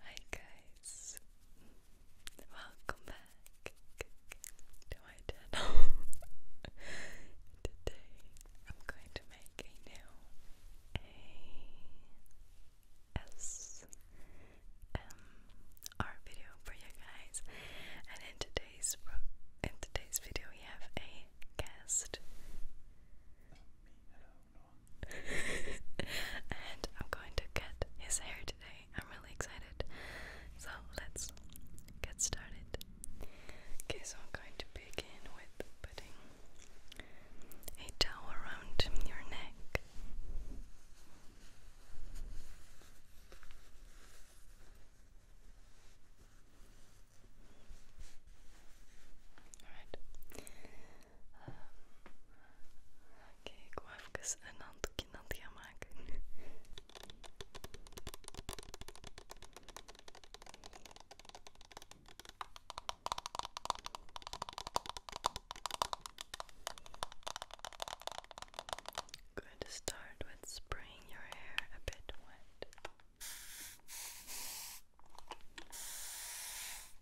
Hi guys, welcome back to my channel. Today I'm going to make a new ASMR video for you guys, and in today's in today's video we have a guest and I'm going to cut his hair today. I'm really excited. So let's get started. Okay, so I'm going to begin with putting a towel around your neck. Alright. Oké, ik wou even een handdoekje nat gaan maken. Good to start with spraying your hair a bit wet.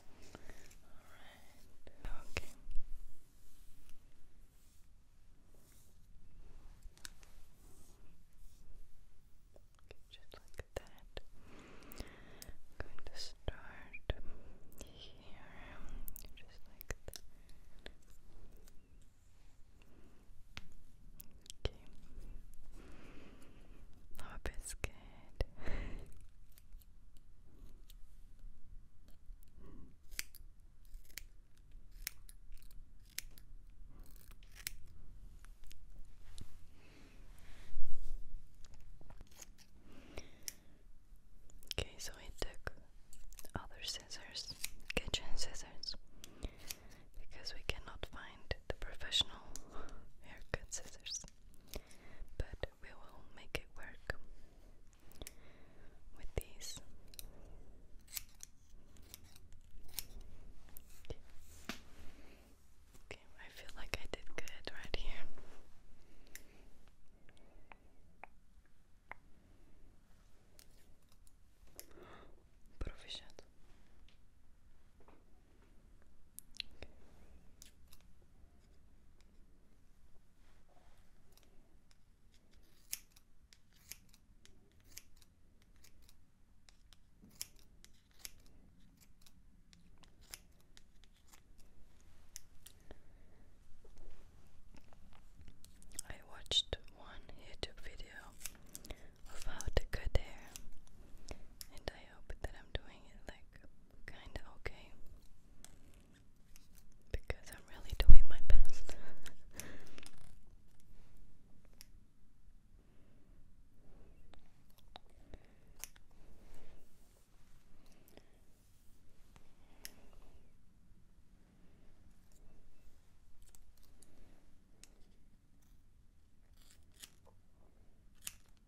Alright, okay. just like that. going to start here, just like that. Okay. Oh, biscuit. okay, so I took other scissors, kitchen scissors, because we cannot find the professional haircut scissors, but we will make it work with these. Okay, I feel like I did good right here. Proficiat. I watched one YouTube video of how to cut hair. And I hope that I'm doing it like kinda okay. Because I'm really doing my best.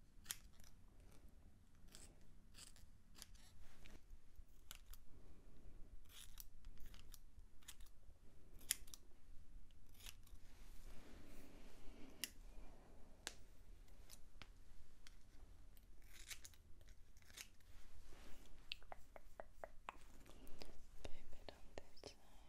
Baby, don't do that.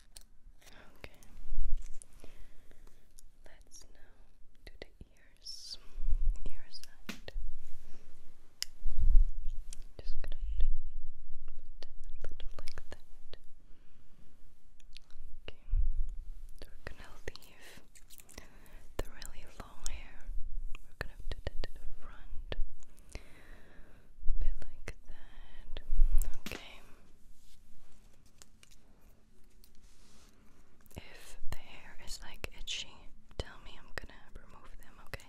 Okay. Let's now do the ears. Ear side. Just gonna put a little like that. Okay. We're gonna leave the really long hair. We're gonna do that to the front. A bit like that. Okay. If the hair is like itchy, tell me I'm gonna remove them, okay?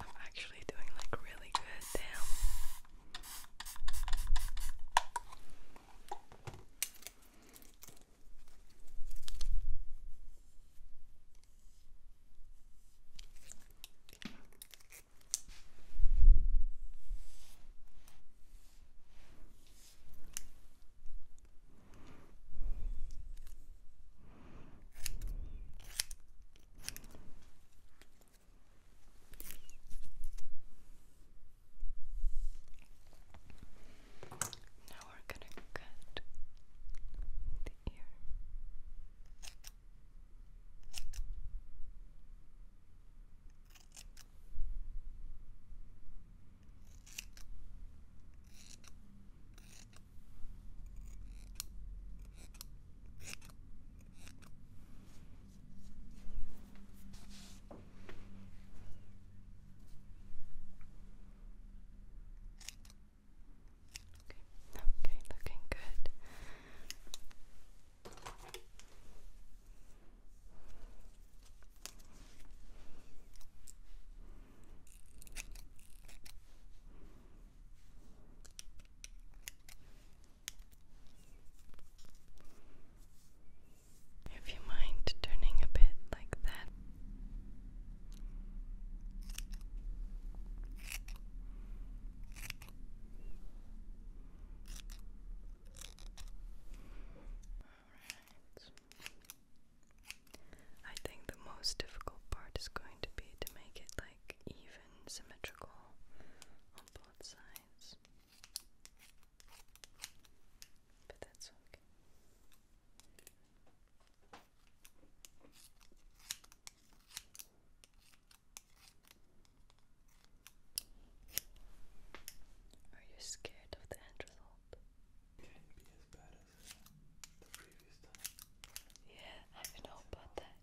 I'm actually doing like really good, damn. Now we're going to cut the ear. Okay, looking good. If you mind turning a bit like that. I think the most difficult part is going to be to make it like even symmetrical on both sides. But that's okay. Are you scared of the end result? as the Yeah, I don't know about that.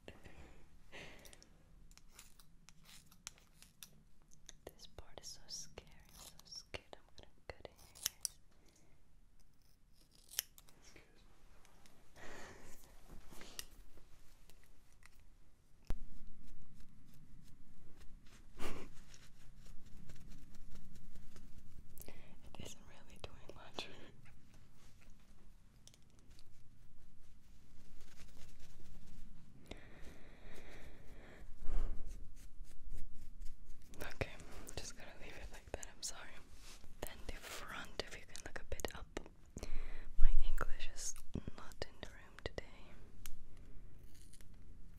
this part is so scary. so scared I'm gonna cut it is okay, just gonna leave it like that. I'm sorry. Then the front, if you can look a bit up. My English is not in the room today.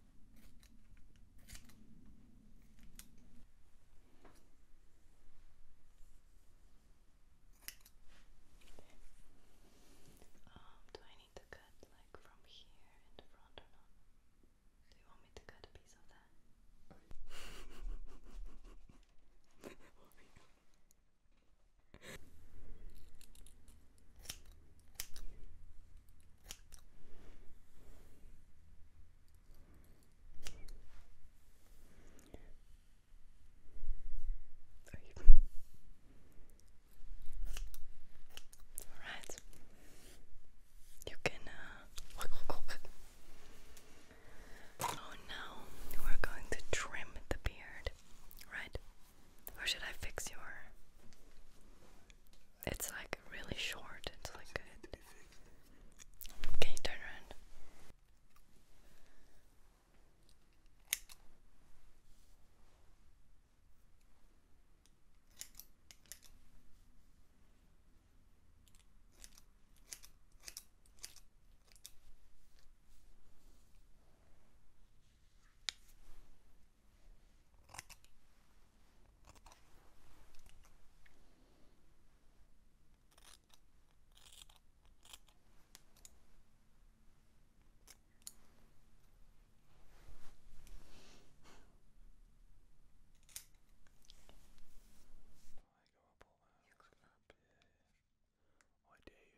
Um, do I need to cut like from here in the front or not? Do you want me to cut a piece of that? Alright. You can uh, Oh now we're going to trim the beard, right? Or should I fix your it's like really short. It's like good. Okay, turn around. You come up. Why do you? Oh, does it work?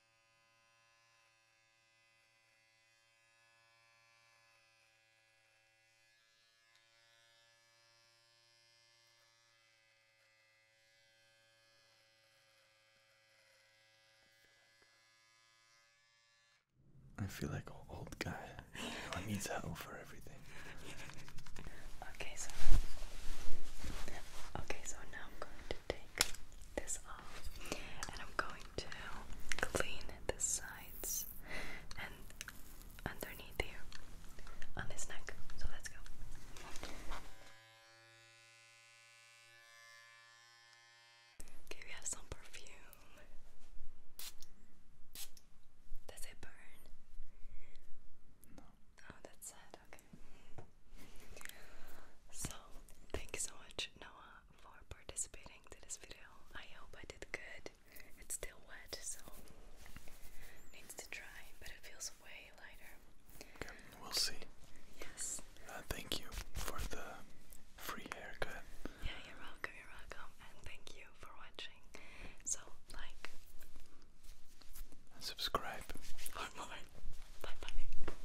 I feel like an old guy who needs help for everything. Okay, so okay, so now I'm going to take this and I'm going to clean the sides and underneath here on this neck. So let's go. Okay, we have some perfume. Does it burn? No. Oh, that's sad. Okay. So, thank you so much, Noah, for participating in this video. I hope I did good. It's still wet, so needs to dry, but it feels way lighter. we'll see. Yes. Uh, thank you for the free haircut. Yeah, you're welcome. You're welcome, and thank you for watching. So like subscribe. Or more. Bye bye.